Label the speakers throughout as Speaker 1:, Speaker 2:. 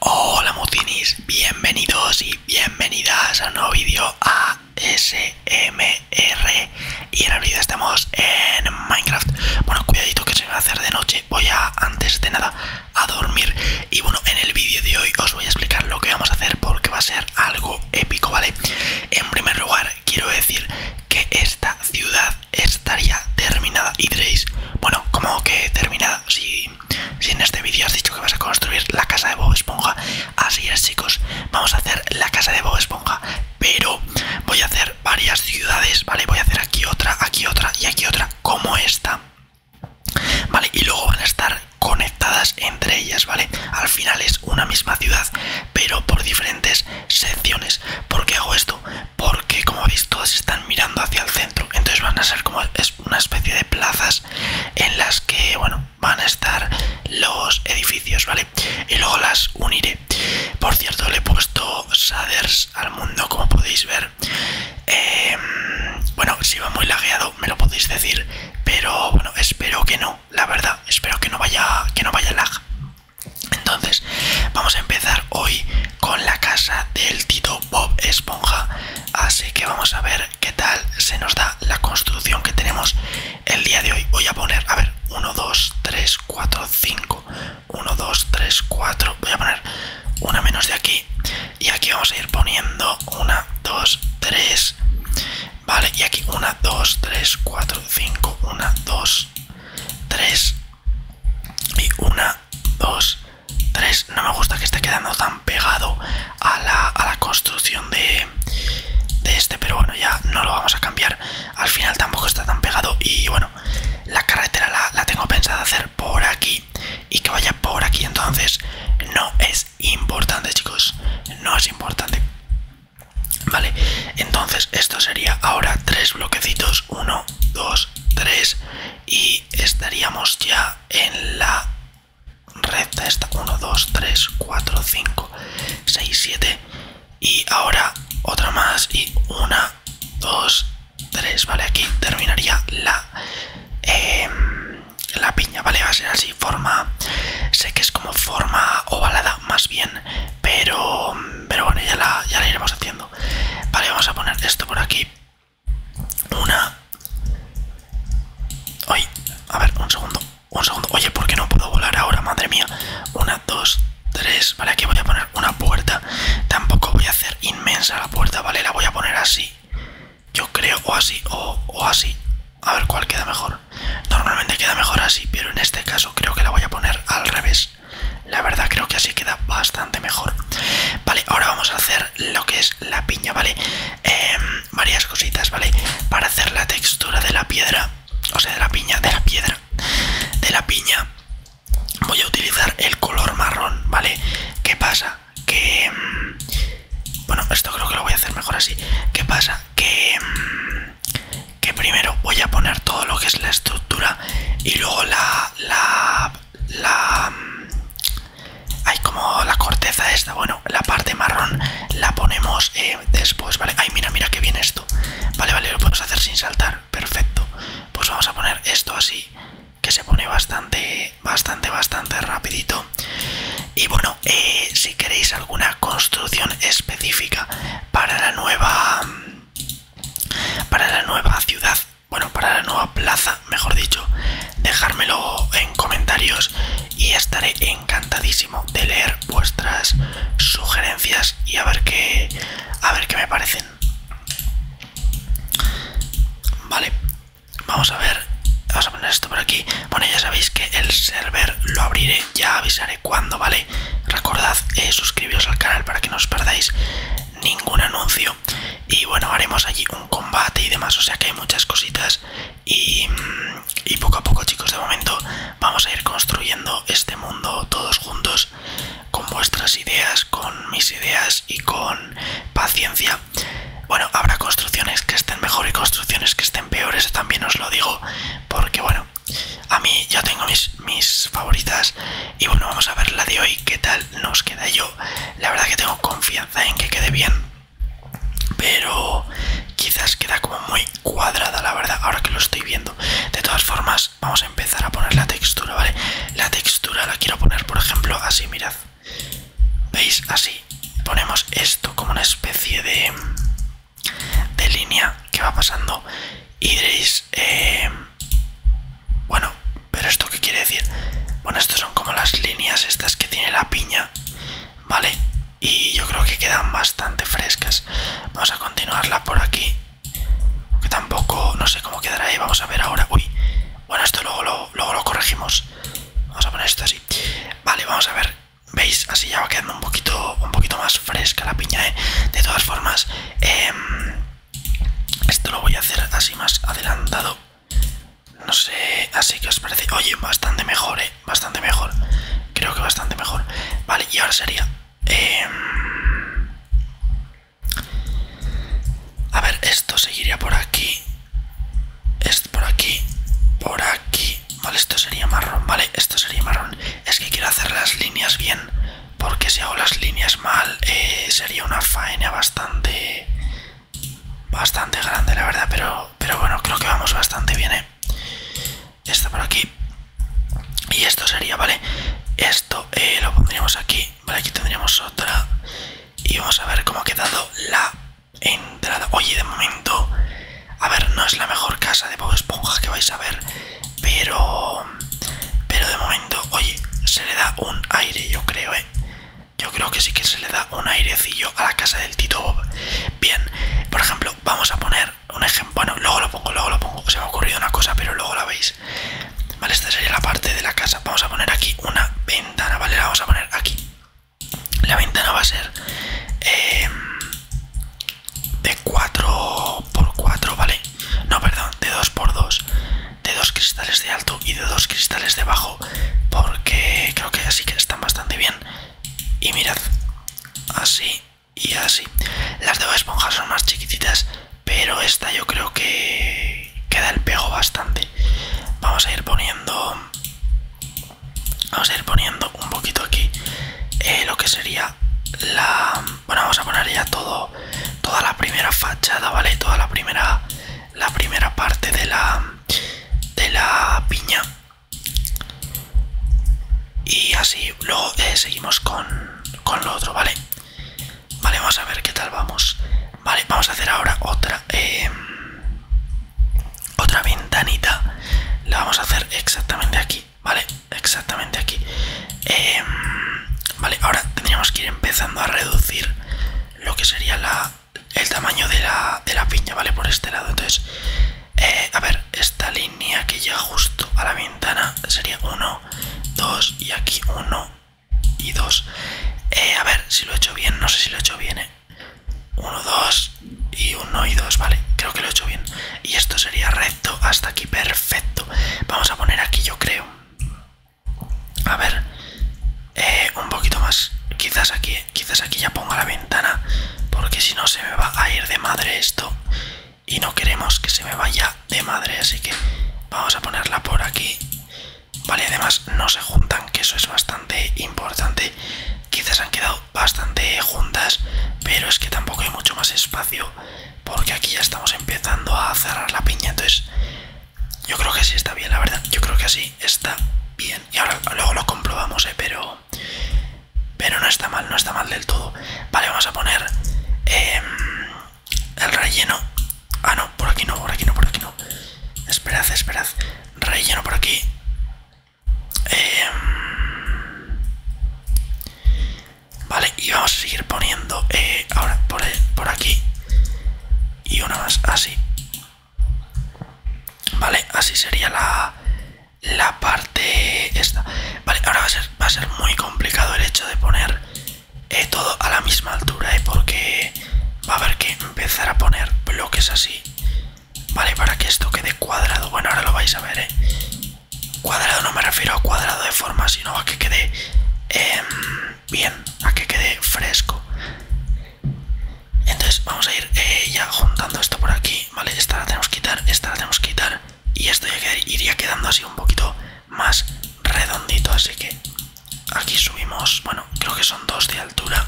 Speaker 1: Hola Mutinis, bienvenidos y bienvenidas a un nuevo vídeo ASMR Y en realidad estamos en Minecraft Bueno, cuidadito que se va a hacer de noche, voy a antes de nada a dormir Y bueno, en el vídeo de hoy os voy a explicar lo que vamos a hacer porque va a ser algo épico, ¿vale? En primer lugar, quiero decir que esta ciudad estaría terminada y diréis, bueno, como que terminada? Si si en este vídeo has dicho que vas a construir la casa de Bob Esponja, así es chicos, vamos a hacer la casa de Bob Esponja, pero voy a hacer varias ciudades, ¿vale? Voy a hacer aquí otra, aquí otra y aquí otra, como esta, ¿vale? Y luego van a estar conectadas entre ellas, ¿vale? Al final es una misma ciudad, pero por diferentes secciones. ¿Por qué hago esto? porque como veis todas están mirando hacia el centro entonces van a ser como una especie de plazas en las que van a estar los edificios vale y luego las uniré por cierto le he puesto shaders al mundo como podéis ver em, bueno si va muy lagueado me lo podéis decir pero bueno espero que no la verdad espero que no vaya que no vaya lag entonces vamos a empezar hoy con la casa del tito Bob Esponja. Así que vamos a ver qué tal se nos da la construcción que tenemos el día de hoy. Voy a poner, a ver, 1, 2, 3, 4, 5. 1, 2, 3, 4. Voy a poner una menos de aquí. Y aquí vamos a ir poniendo 1, 2, 3. Vale, y aquí 1, 2, 3, 4, 5. 1, 2, 3. Y una, dos, tres. No me gusta que esté quedando tan pegado a la, construcción de, este, pero bueno, ya no lo vamos a cambiar. Al final tampoco está tan pegado. Y bueno, la carretera la, la tengo pensada hacer por aquí y que vaya por aquí. Entonces, no es importante, chicos. No es importante. Vale, entonces esto sería ahora tres bloquecitos. Uno, dos, tres y estaríamos ya en la recta esta 1 2 3 4 5 6 7 y ahora otra más y 1, 2 3 vale aquí terminaría em, la piña vale va a ser así forma sé que es como forma ovalada más bien pero bueno ya la iremos haciendo vale vamos a poner esto por aquí una. Ay, a ver, un segundo. Un segundo. Oye, porque no puedo volar ahora? Madre mía. Una, dos, tres. Vale, aquí voy a poner una puerta. Tampoco voy a hacer inmensa la puerta, ¿vale? La voy a poner así. Yo creo, o así, o así. A ver cuál queda mejor. Normalmente queda mejor así, pero en este caso creo que la voy a poner al revés. La verdad creo que así queda bastante mejor. Vale, ahora vamos a hacer lo que es la piña, ¿vale? Em, varias cositas, ¿vale? Para hacer la textura de la piedra, o sea, de la piña, de la piedra, de la piña, voy a utilizar el color marrón, ¿vale? ¿Qué pasa? Que... Em, bueno, esto creo que lo voy a hacer mejor así. ¿Qué pasa? Que... Em, que primero voy a poner todo lo que es la estructura y luego la, la, la... Hay como la corteza esta, bueno, la parte marrón la ponemos eh, después, ¿vale? Ay, mira, mira que bien esto. Vale, vale, lo podemos hacer sin saltar, perfecto. Pues vamos a poner esto así, que se pone bastante, bastante, bastante rapidito. Y bueno, eh, si queréis alguna construcción específica para la nueva para la nueva ciudad bueno, para la nueva plaza, mejor dicho, dejármelo en comentarios y estaré encantadísimo de leer vuestras sugerencias y a ver qué, a ver qué me parecen. Vale, vamos a ver, vamos a poner esto por aquí. Bueno, ya sabéis que el server lo abriré, ya avisaré cuándo, ¿vale? Recordad eh, suscribiros al canal para que no os perdáis ningún anuncio y bueno haremos allí un combate y demás o sea que hay muchas cositas mm, y, poco a poco chicos de momento vamos a ir construyendo este mundo todos juntos con vuestras ideas con mis ideas y con paciencia bueno habrá construcciones que estén mejor y construcciones que estén peores también os lo digo porque bueno a mí ya tengo mis favoritas y bueno, vamos a ver la de hoy, qué tal nos queda yo. La verdad que tengo confianza en que quede bien, pero quizás queda como muy cuadrada, la verdad, ahora que lo estoy viendo. De todas formas, vamos a empezar a poner la textura, ¿vale? La textura la quiero poner, por ejemplo, así, mirad. ¿Veis? Así. Ponemos esto como una especie de, de línea que va pasando y diréis... Eh, bueno, pero esto qué quiere decir? Bueno, estas son como las líneas estas que tiene la piña, ¿vale? Y yo creo que quedan bastante frescas. Vamos a continuarla por aquí. Que tampoco, no sé cómo quedará ahí. ¿eh? Vamos a ver ahora. Uy, bueno, esto luego lo, corregimos. Vamos a poner esto así. Vale, vamos a ver. ¿Veis? Así ya va quedando un poquito, un poquito más fresca la piña, ¿eh? De todas formas, em, esto lo voy a hacer así más adelantado. No sé, así que os parece. Oye, bastante mejor, eh. Bastante mejor. Creo que bastante mejor. Vale, y ahora sería. Em, a ver, esto seguiría por aquí. Esto por aquí. Por aquí. Vale, esto sería marrón. Vale, esto sería marrón. Es que quiero hacer las líneas bien. Porque si hago las líneas mal, eh, sería una faena bastante bastante grande la verdad pero pero bueno creo que vamos bastante bien ¿eh? por aquí y esto sería vale esto eh, lo pondríamos aquí vale aquí tendríamos otra y vamos a ver cómo ha quedado la entrada oye de momento a ver no es la mejor casa de Bob Esponja que vais a ver pero pero de momento oye se le da un aire yo creo ¿eh? yo creo que sí que se le da un airecillo a la casa del Tito Bob. Bien, por ejemplo, vamos a poner un ejemplo. Bueno, luego lo pongo, luego lo pongo. Se me ha ocurrido una cosa, pero luego la veis. Vale, esta sería la parte de la casa. Vamos a poner aquí una ventana, ¿vale? La vamos a poner aquí. La ventana va a ser em, de 4x4, ¿vale? No, perdón, de 2x2 de dos cristales de alto y de dos cristales de bajo porque creo que así que están bastante bien y mirad así y así las de esponjas son más chiquititas pero esta yo creo que queda el pego bastante vamos a ir poniendo vamos a ir poniendo un poquito aquí eh, lo que sería la bueno vamos a poner ya todo toda la primera fachada vale toda la primera la primera parte de la de la piña y así luego eh, seguimos con, con lo otro vale vale vamos a ver qué tal vamos vale vamos a hacer ahora otra eh, otra ventanita la vamos a hacer exactamente aquí vale exactamente aquí eh, vale ahora tendríamos que ir empezando a reducir lo que sería el tamaño de la, piña, ¿vale? Por este lado. Entonces, eh, a ver, esta línea que llega justo a la ventana sería 1, 2 y aquí 1 y 2. Eh, a ver si lo he hecho bien, no sé si lo he hecho bien, 1, ¿eh? 2 y 1 y 2, ¿vale? Creo que lo he hecho bien. Y esto sería recto hasta aquí, perfecto. Vamos a poner aquí, yo creo. A ver, eh, un poquito más. Quizás aquí, quizás aquí ya ponga la ventana, porque si no se me va a ir de madre esto. Y no queremos que se me vaya de madre, así que vamos a ponerla por aquí. Vale, además no se juntan, que eso es bastante importante. Quizás han quedado bastante juntas, pero es que tampoco hay mucho más espacio, porque aquí ya estamos empezando a cerrar la piña, entonces yo creo que sí está bien, la verdad. Yo creo que así está bien. Y ahora luego lo comprobamos, ¿eh? Pero, pero no está mal, no está mal del todo. Vale, vamos a poner em, el relleno. Ah, no, por aquí no, por aquí no, por aquí no. Esperad, esperad. Relleno por aquí. Em, vale, y vamos a seguir poniendo eh, ahora por, por aquí y una más así vale así sería la la parte esta vale ahora va a ser va a ser muy complicado el hecho de poner eh, todo a la misma altura eh, porque va a haber que empezar a poner bloques así vale para que esto quede cuadrado bueno ahora lo vais a ver eh. cuadrado no me refiero a cuadrado de forma sino a que quede em, bien, a que quede fresco. Entonces vamos a ir eh, ya juntando esto por aquí, ¿vale? Esta la tenemos que quitar, esta la tenemos que quitar y esto ya iría quedando así un poquito más redondito, así que aquí subimos, bueno, creo que son dos de altura.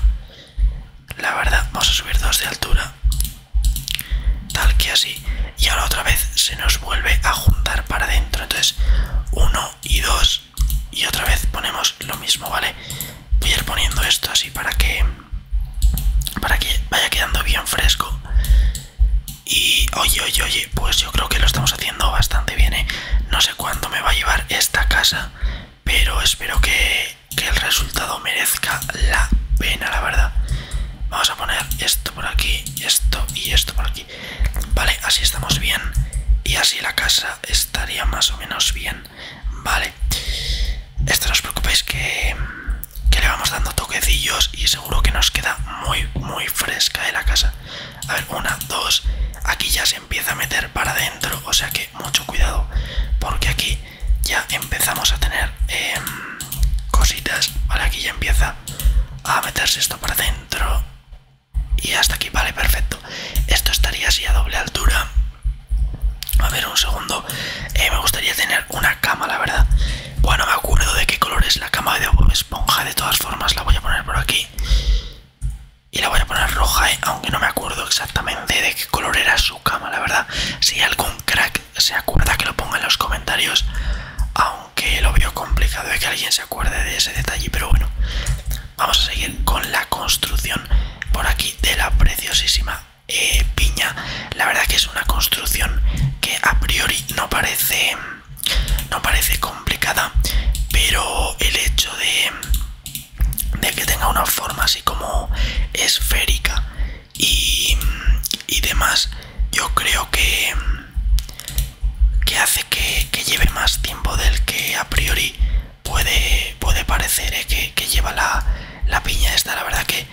Speaker 1: La verdad, vamos a subir dos de altura. Tal que así. Y ahora otra vez se nos vuelve a juntar para adentro. Entonces, uno y dos y otra vez ponemos lo mismo, ¿vale? Voy a ir poniendo esto así para que para que vaya quedando bien fresco. Y oye, oye, oye, pues yo creo que lo estamos haciendo bastante bien, ¿eh? No sé cuándo me va a llevar esta casa, pero espero que el resultado merezca la pena, la verdad. Vamos a poner esto por aquí, esto y esto por aquí. Vale, así estamos bien. Y así la casa estaría más o menos bien. Vale. Esto no os preocupéis que, que le vamos dando toquecillos y seguro que nos queda muy, muy fresca de ¿eh? la casa. A ver, una, dos. Aquí ya se empieza a meter para adentro. O sea que mucho cuidado. Porque aquí ya empezamos a tener em, cositas. Vale, aquí ya empieza a meterse esto para adentro. Y hasta aquí, vale, perfecto. Esto estaría así a doble altura. A ver, un segundo. Eh, me gustaría tener una cama, la verdad. Bueno, me acuerdo de qué color es la cama de Esponja. De todas formas, la voy a poner por aquí. Y la voy a poner roja, eh, aunque no me acuerdo exactamente de qué color era su cama, la verdad. Si algún crack se acuerda, que lo ponga en los comentarios que lo veo complicado de que alguien se acuerde de ese detalle, pero bueno, vamos a seguir con la construcción por aquí de la preciosísima eh, piña. La verdad que es una construcción que a priori no parece, no parece complicada, pero el hecho de, de que tenga una forma así como esférica y, y demás, yo creo que que hace que, lleve más tiempo del que a priori puede, puede parecer eh, que, lleva la, piña esta. La verdad que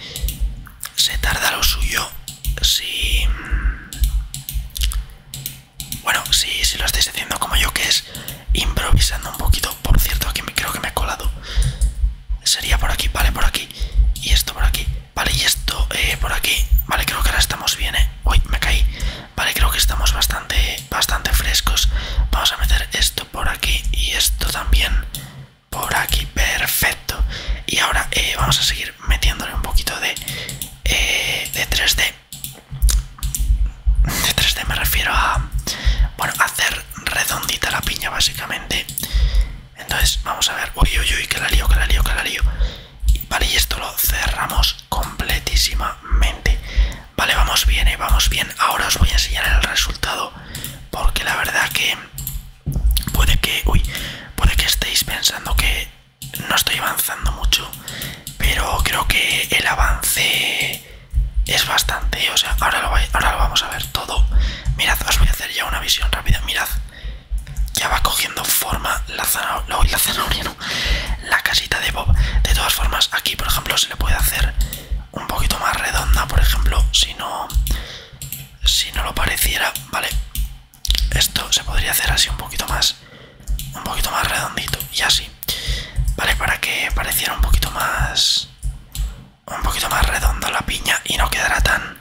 Speaker 1: se tarda lo suyo si... Bueno, si, si lo estáis haciendo como yo, que es improvisando un poquito. Por cierto, aquí me, creo que me he colado. Sería por aquí, vale, por aquí. Y esto por aquí. Vale, y esto eh, por aquí. Vale, creo que ahora estamos bien, ¿eh? Uy, me caí. Vale, creo que estamos bastante, bastante frescos. Vamos a meter esto por aquí y esto también por aquí. Perfecto. Y ahora eh, vamos a seguir metiéndole un poquito de, 3D. Eh, de 3D me refiero a, bueno, hacer redondita la piña básicamente. Entonces, vamos a ver. Uy, uy, uy, que la lío, que la lío, que la lío. Vale, y esto lo cerramos completísimamente. Vale, vamos bien, eh, vamos bien. Ahora os voy a enseñar el resultado porque la verdad que puede que, uy, puede que estéis pensando que no estoy avanzando mucho, pero creo que el avance es bastante, o sea, ahora lo, ahora lo vamos a ver todo. Mirad, os voy a hacer ya una visión rápida, mirad. Ya va cogiendo forma la zanahoria, la zanahoria la casita de Bob. De todas formas, aquí, por ejemplo, se le puede hacer un poquito más redonda, por ejemplo, si no, si no lo pareciera, ¿vale? Esto se podría hacer así un poquito más, un poquito más redondito y así, ¿vale? Para que pareciera un poquito más, un poquito más redonda la piña y no quedara tan,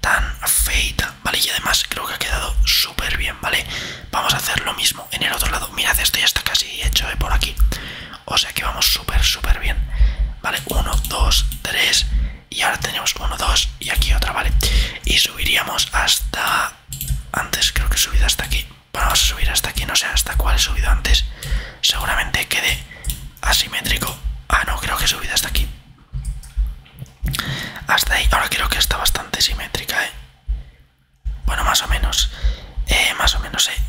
Speaker 1: tan feita, ¿vale? Y además creo que ha quedado súper bien, ¿vale? Vamos a hacer lo mismo en el otro lado. Mirad, esto ya está casi hecho ¿eh? por aquí. O sea que vamos súper, súper bien. ¿Vale? 1, 2, 3. Y ahora tenemos Uno, 2 y aquí otra, ¿vale? Y subiríamos hasta... Antes creo que he subido hasta aquí. Vamos a subir hasta aquí, no sé hasta cuál he subido antes. Seguramente quede asimétrico. Ah, no, creo que he subido hasta aquí. Hasta ahí. Ahora creo que está bastante simétrica, ¿eh? Bueno, más o menos. Eh, más o menos, eh.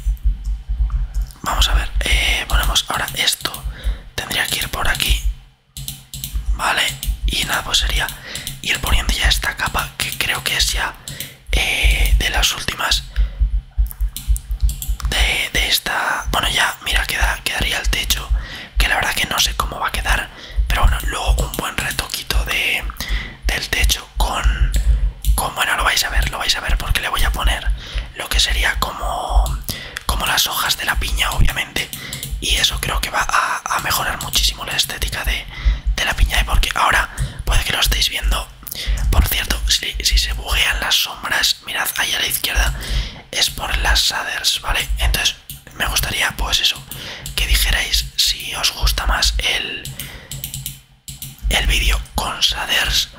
Speaker 1: Vamos a ver. Eh, ponemos ahora esto. Tendría que ir por aquí. Vale. Y nada, pues sería ir poniendo ya esta capa que creo que es ya de las últimas. De, de esta... Bueno, ya, mira, queda, quedaría el techo. Que la verdad que no sé cómo va a quedar pero bueno luego un buen retoquito del techo con bueno lo vais a ver lo vais a ver porque le voy a poner lo que sería como como las hojas de la piña obviamente y eso creo que va a, mejorar muchísimo la estética de, la piña Y ¿eh? porque ahora puede que lo estéis viendo por cierto si, se bujean las sombras mirad ahí a la izquierda es por las shaders vale entonces me gustaría, pues eso, que dijerais si os gusta más el, el vídeo con saders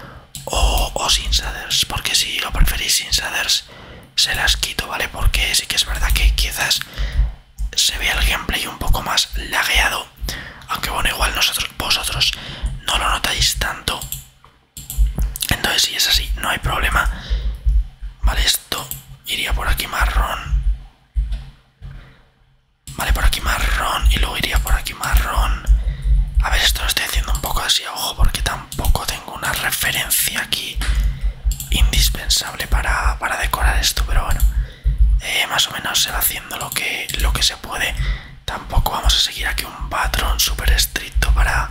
Speaker 1: o, sin saders. porque si lo preferís sin saders, se las quito, ¿vale? Porque sí que es verdad que quizás se vea el gameplay un poco más lagueado, aunque bueno, igual nosotros, vosotros no lo notáis tanto. Entonces si es así, no hay problema. Vale, esto iría por aquí marrón Vale, por aquí marrón. Y luego iría por aquí marrón. A ver, esto lo estoy haciendo un poco así ojo porque tampoco tengo una referencia aquí indispensable para, decorar esto. Pero bueno, eh, más o menos se va haciendo lo que, lo que se puede. Tampoco vamos a seguir aquí un patrón súper estricto para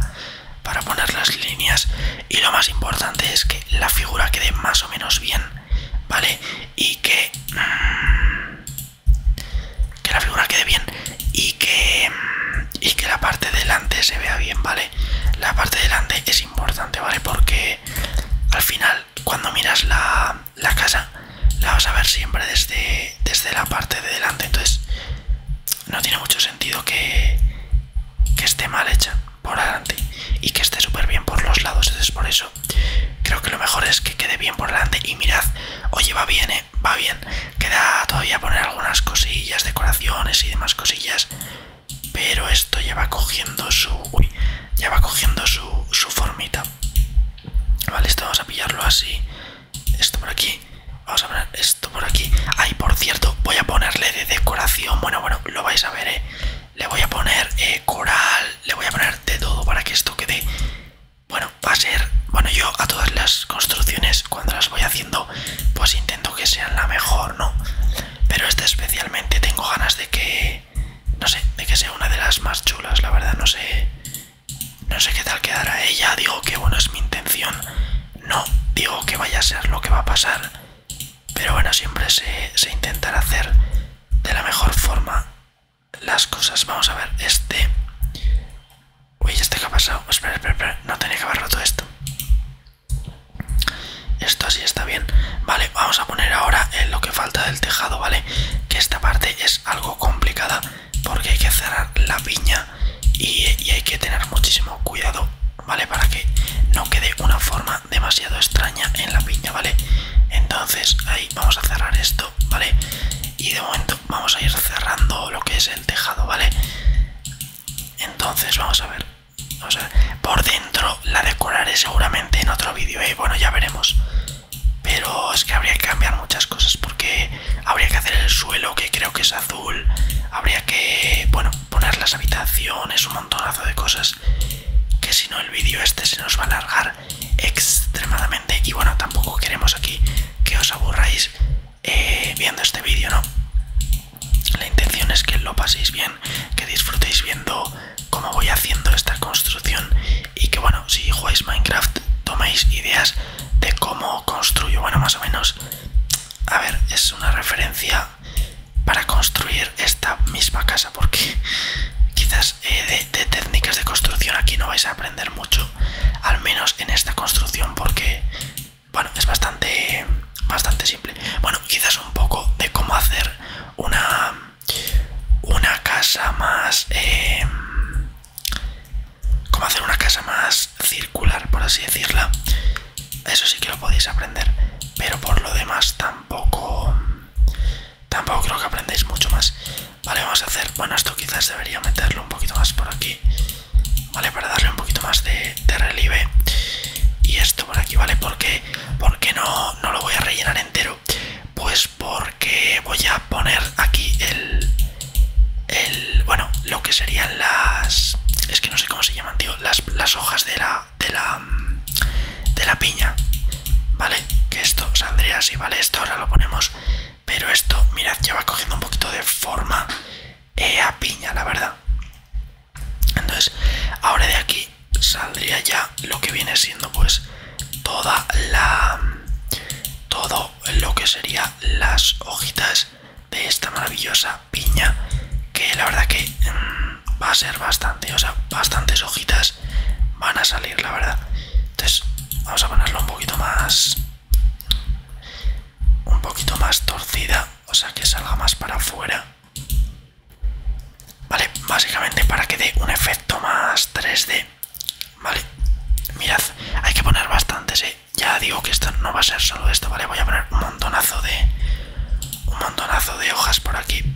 Speaker 1: poner las líneas. Y lo más importante es que la figura quede más o menos bien. ¿vale? Y que... Mm, que la figura quede bien y que... Mm, y que la parte delante se vea bien, ¿vale? La parte delante es importante, ¿vale? Porque al final, cuando miras la, casa, la vas a ver siempre desde, desde la parte de delante. Entonces, no tiene mucho sentido que, que esté mal hecha por delante y que esté súper bien por los lados. es por eso creo que lo mejor es que quede bien por delante. Y mirad, oye, va bien, eh, va bien. Queda todavía poner algunas cosillas, decoraciones y demás cosillas. Pero esto ya va cogiendo su. Uy, ya va cogiendo su, su formita. Vale, esto vamos a pillarlo así. Esto por aquí. Vamos a poner esto por aquí. Ay, por cierto, voy a ponerle de decoración. Bueno, bueno, lo vais a ver, eh le voy a poner eh, coral, le voy a poner de todo para que esto quede... Bueno, va a ser... Bueno, yo a todas las construcciones cuando las voy haciendo pues intento que sean la mejor, ¿no? Pero esta especialmente tengo ganas de que... No sé, de que sea una de las más chulas, la verdad, no sé... No sé qué tal quedará ella, digo que bueno, es mi intención. No digo que vaya a ser lo que va a pasar, pero bueno, siempre se, se intentará hacer de la mejor forma las cosas. Vamos a ver, este... Uy, este que ha pasado. Espera, espera, espera. No tenía que haber roto esto. Esto así está bien. Vale, vamos a poner ahora lo que falta del tejado, ¿vale? Que esta parte es algo complicada porque hay que cerrar la viña y hay que tener muchísimo cuidado, ¿vale? Para que no quede una forma demasiado extraña en la piña, ¿vale? Entonces ahí vamos a cerrar esto, ¿vale? Y de momento vamos a ir cerrando lo que es el tejado, ¿vale? Entonces vamos a ver. Vamos a ver. Por dentro la decoraré seguramente en otro vídeo, y ¿eh? Bueno, ya veremos. Pero es que habría que cambiar muchas cosas porque habría que hacer el suelo que creo que es azul. Habría que, bueno, poner las habitaciones, un montonazo de cosas que si no el vídeo este se nos va a alargar extremadamente y bueno tampoco queremos aquí que os aburráis eh, viendo este vídeo no la intención es que lo paséis bien que disfrutéis viendo cómo voy haciendo esta construcción y que bueno si jugáis minecraft toméis ideas de cómo construyo bueno más o menos a ver es una referencia para construir esta misma casa porque quizás eh, de, técnicas de construcción aquí no vais a aprender mucho al menos en esta construcción porque bueno es bastante bastante simple bueno quizás un poco de cómo hacer una una casa más eh, cómo hacer una casa más circular por así decirla eso sí que lo podéis aprender. Pero por lo demás tampoco... Tampoco creo que aprendéis mucho más. Vale, vamos a hacer... Bueno, esto quizás debería meterlo un poquito más por aquí. Vale, para darle un poquito más de, relieve. Y esto por aquí, ¿vale? Porque, porque no, no lo voy a rellenar entero. Pues porque voy a poner aquí el... El, bueno, lo que serían las... Es que no sé cómo se llaman, tío. Las, las hojas de la de la de la piña vale que esto saldría así vale esto ahora lo ponemos pero esto mirad ya va cogiendo un poquito de forma eh, a piña la verdad entonces ahora de aquí saldría ya lo que viene siendo pues toda la todo lo que sería las hojitas de esta maravillosa piña que la verdad que mm, va a ser bastante, o sea, bastantes hojitas van a salir, la verdad. Entonces, vamos a ponerlo un poquito más un poquito más torcida, o sea, que salga más para afuera. Vale, básicamente para que dé un efecto más 3D. Vale, mirad, hay que poner bastantes, ¿eh? Ya digo que esto no va a ser solo esto, ¿vale? Voy a poner un montonazo de. un montonazo de hojas por aquí.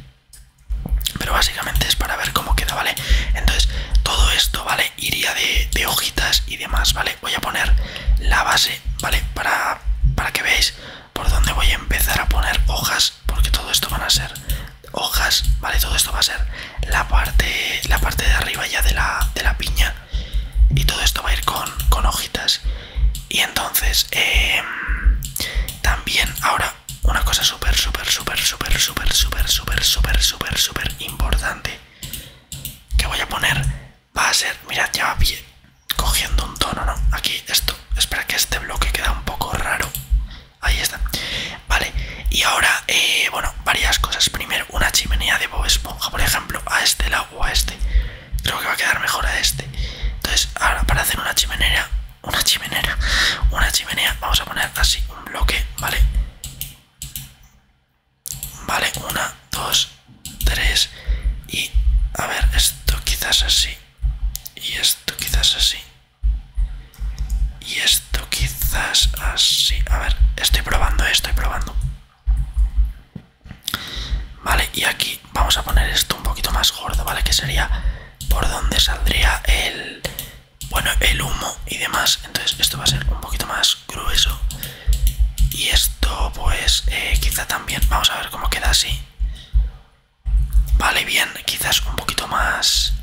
Speaker 1: Pero básicamente es para ver cómo queda, ¿vale? Entonces, todo esto, ¿vale? Iría de, hojitas y demás, ¿vale? Voy a poner la base, ¿vale? Para, para que veáis por dónde voy a empezar a poner hojas, porque todo esto van a ser hojas, ¿vale? Todo esto va a ser la parte, la parte de arriba ya de la, de la piña. Y todo esto va a ir con hojitas. Y entonces, em, también ahora una cosa súper, súper, súper, súper, súper, súper, súper, súper, súper, súper importante que voy a poner va a ser, mirad, ya bien, cogiendo un tono, ¿no? Aquí, esto, espera que este bloque queda un poco raro. Ahí está. Vale, y ahora, eh, bueno, varias cosas. Primero, una chimenea de Bob Esponja, por ejemplo, a este lado o a este creo que va a quedar mejor a este entonces ahora para hacer una chimenea una chimenea una chimenea vamos a poner así un bloque vale vale una dos tres y a ver esto quizás así y esto quizás así y esto quizás así a ver estoy probando estoy probando vale y aquí vamos a poner esto un poquito más gordo, ¿vale? Que sería por donde saldría el, bueno, el humo y demás. Entonces esto va a ser un poquito más grueso. Y esto pues eh, quizá también, vamos a ver cómo queda así. Vale, bien, quizás un poquito más.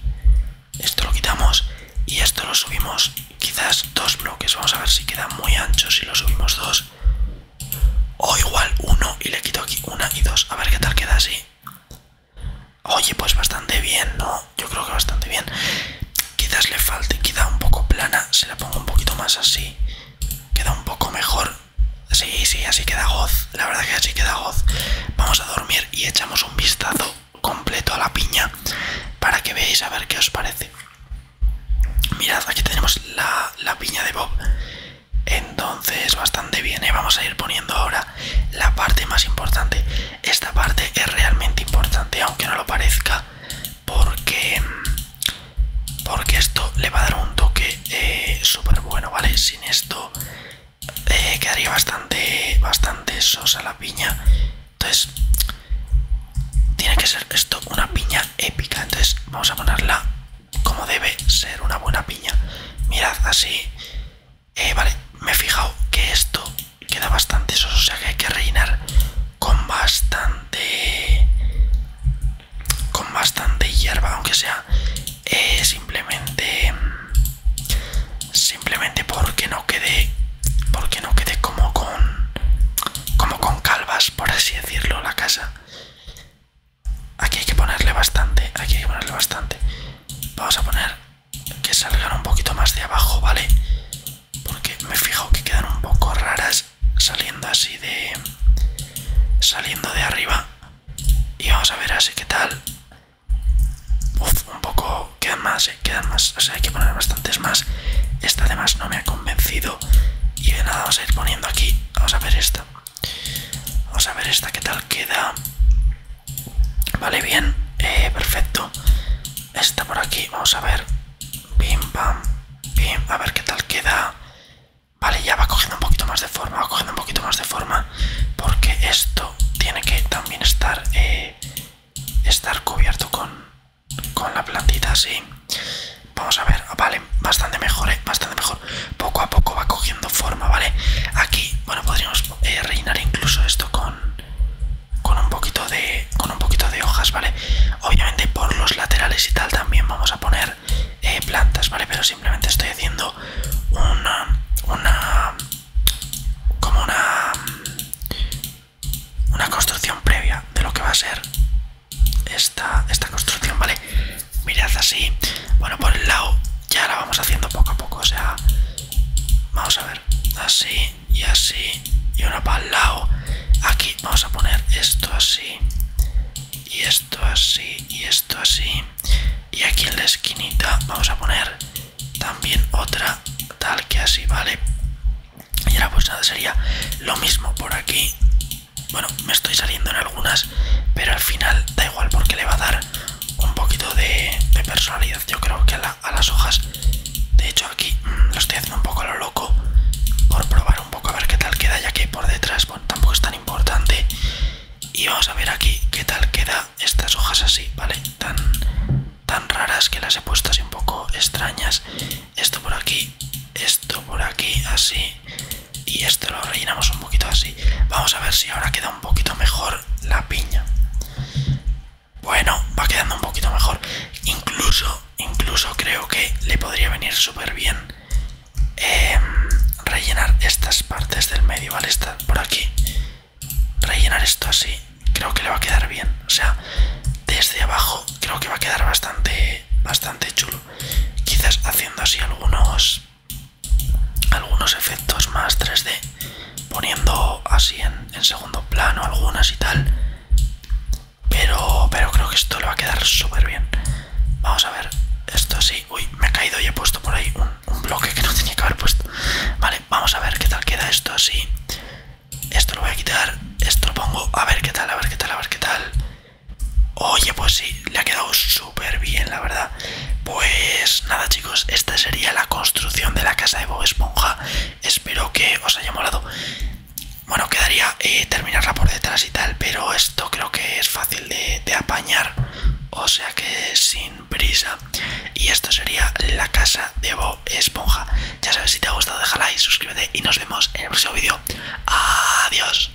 Speaker 1: Esto lo quitamos y esto lo subimos quizás dos bloques. Vamos a ver si queda muy ancho si lo subimos dos. O igual uno y le quito aquí una y dos. A ver qué tal queda así. Oye, pues bastante bien, ¿no? Yo creo que bastante bien. Quizás le falte, queda un poco plana. Se la pongo un poquito más así. Queda un poco mejor. Sí, sí, así queda goz. La verdad que así queda goz. Vamos a dormir y echamos un vistazo completo a la piña para que veáis a ver qué os parece. Mirad, aquí tenemos la piña de Bob entonces bastante bien ¿eh? vamos a ir poniendo ahora la parte más importante esta parte es realmente importante aunque no lo parezca porque porque esto le va a dar un toque eh, súper bueno vale sin esto eh, quedaría bastante bastante sosa la piña entonces tiene que ser esto una piña épica entonces vamos a ponerla como debe ser una buena piña. Mirad, así. Eh, vale, me he fijado que esto queda bastante soso, o sea que hay que reinar con bastante. con bastante hierba, aunque sea eh, simplemente. simplemente porque no quede. porque no quede como con. como con calvas, por así decirlo, la casa. Aquí hay que ponerle bastante, aquí hay que ponerle bastante. Vamos a poner que salgan un poquito más de abajo, ¿vale? Porque me fijo que quedan un poco raras saliendo así de... saliendo de arriba. Y vamos a ver así qué tal. uff, un poco... quedan más, eh, quedan más. O sea, hay que poner bastantes más. Esta además no me ha convencido. Y de nada, vamos a ir poniendo aquí. Vamos a ver esta. Vamos a ver esta qué tal queda. Vale, bien. Eh, perfecto. Esta por aquí. Vamos a ver. pim, bam. A ver qué tal queda. Vale, ya va cogiendo un poquito más de forma. Va cogiendo un poquito más de forma. Porque esto tiene que también estar... Eh, estar cubierto con la plantita así Vamos a ver, vale, bastante mejor, ¿eh? bastante mejor. Poco a poco va cogiendo forma, ¿vale? Aquí, bueno, podríamos eh, rellenar incluso esto con un poquito de con un poquito de hojas, ¿vale? Obviamente por los laterales y tal también vamos a poner eh, plantas, ¿vale? Pero simplemente estoy haciendo una una como una una construcción previa de lo que va a ser esta, esta construcción, ¿vale? Mirad así. Bueno, por el lado ya la vamos haciendo poco a poco. O sea, vamos a ver. Así y así. Y una para el lado. Aquí vamos a poner esto así. Y esto así. Y esto así. Y aquí en la esquinita vamos a poner también otra tal que así, ¿vale? Y ahora pues nada, sería lo mismo por aquí bueno, me estoy saliendo en algunas, pero al final da igual porque le va a dar un poquito de, personalidad, yo creo que a, las hojas. De hecho aquí mm, lo estoy haciendo un poco a lo loco por probar un poco a ver qué tal queda, ya que por detrás, tampoco es tan importante. Y vamos a ver aquí qué tal queda estas hojas así, ¿vale? Tan, tan raras que las he puesto así un poco extrañas. Esto por aquí, esto por aquí, así y esto lo rellenamos un poquito así. Vamos a ver si ahora queda un poquito mejor la piña. Bueno, va quedando un poquito mejor. Incluso, incluso creo que le podría venir súper bien em, rellenar estas partes del medio, ¿vale? Esta por aquí. Rellenar esto así. Creo que le va a quedar bien. O sea, desde abajo creo que va a quedar bastante, bastante chulo. Quizás haciendo así algunos algunos efectos más 3D poniendo así en, segundo plano algunas y tal pero pero creo que esto le va a quedar súper bien vamos a ver esto así uy me ha caído y he puesto por ahí un, un bloque que no tenía que haber puesto vale vamos a ver qué tal queda esto así esto lo voy a quitar esto lo pongo a ver qué tal a ver qué tal a ver qué tal Oye, pues sí, le ha quedado súper bien, la verdad. Pues nada, chicos, esta sería la construcción de la casa de Bob Esponja. Espero que os haya molado. Bueno, quedaría eh, terminarla por detrás y tal, pero esto creo que es fácil de, apañar. O sea que sin prisa. Y esto sería la casa de Bob Esponja. Ya sabes, si te ha gustado, déjala y suscríbete. Y nos vemos en el próximo vídeo. Adiós.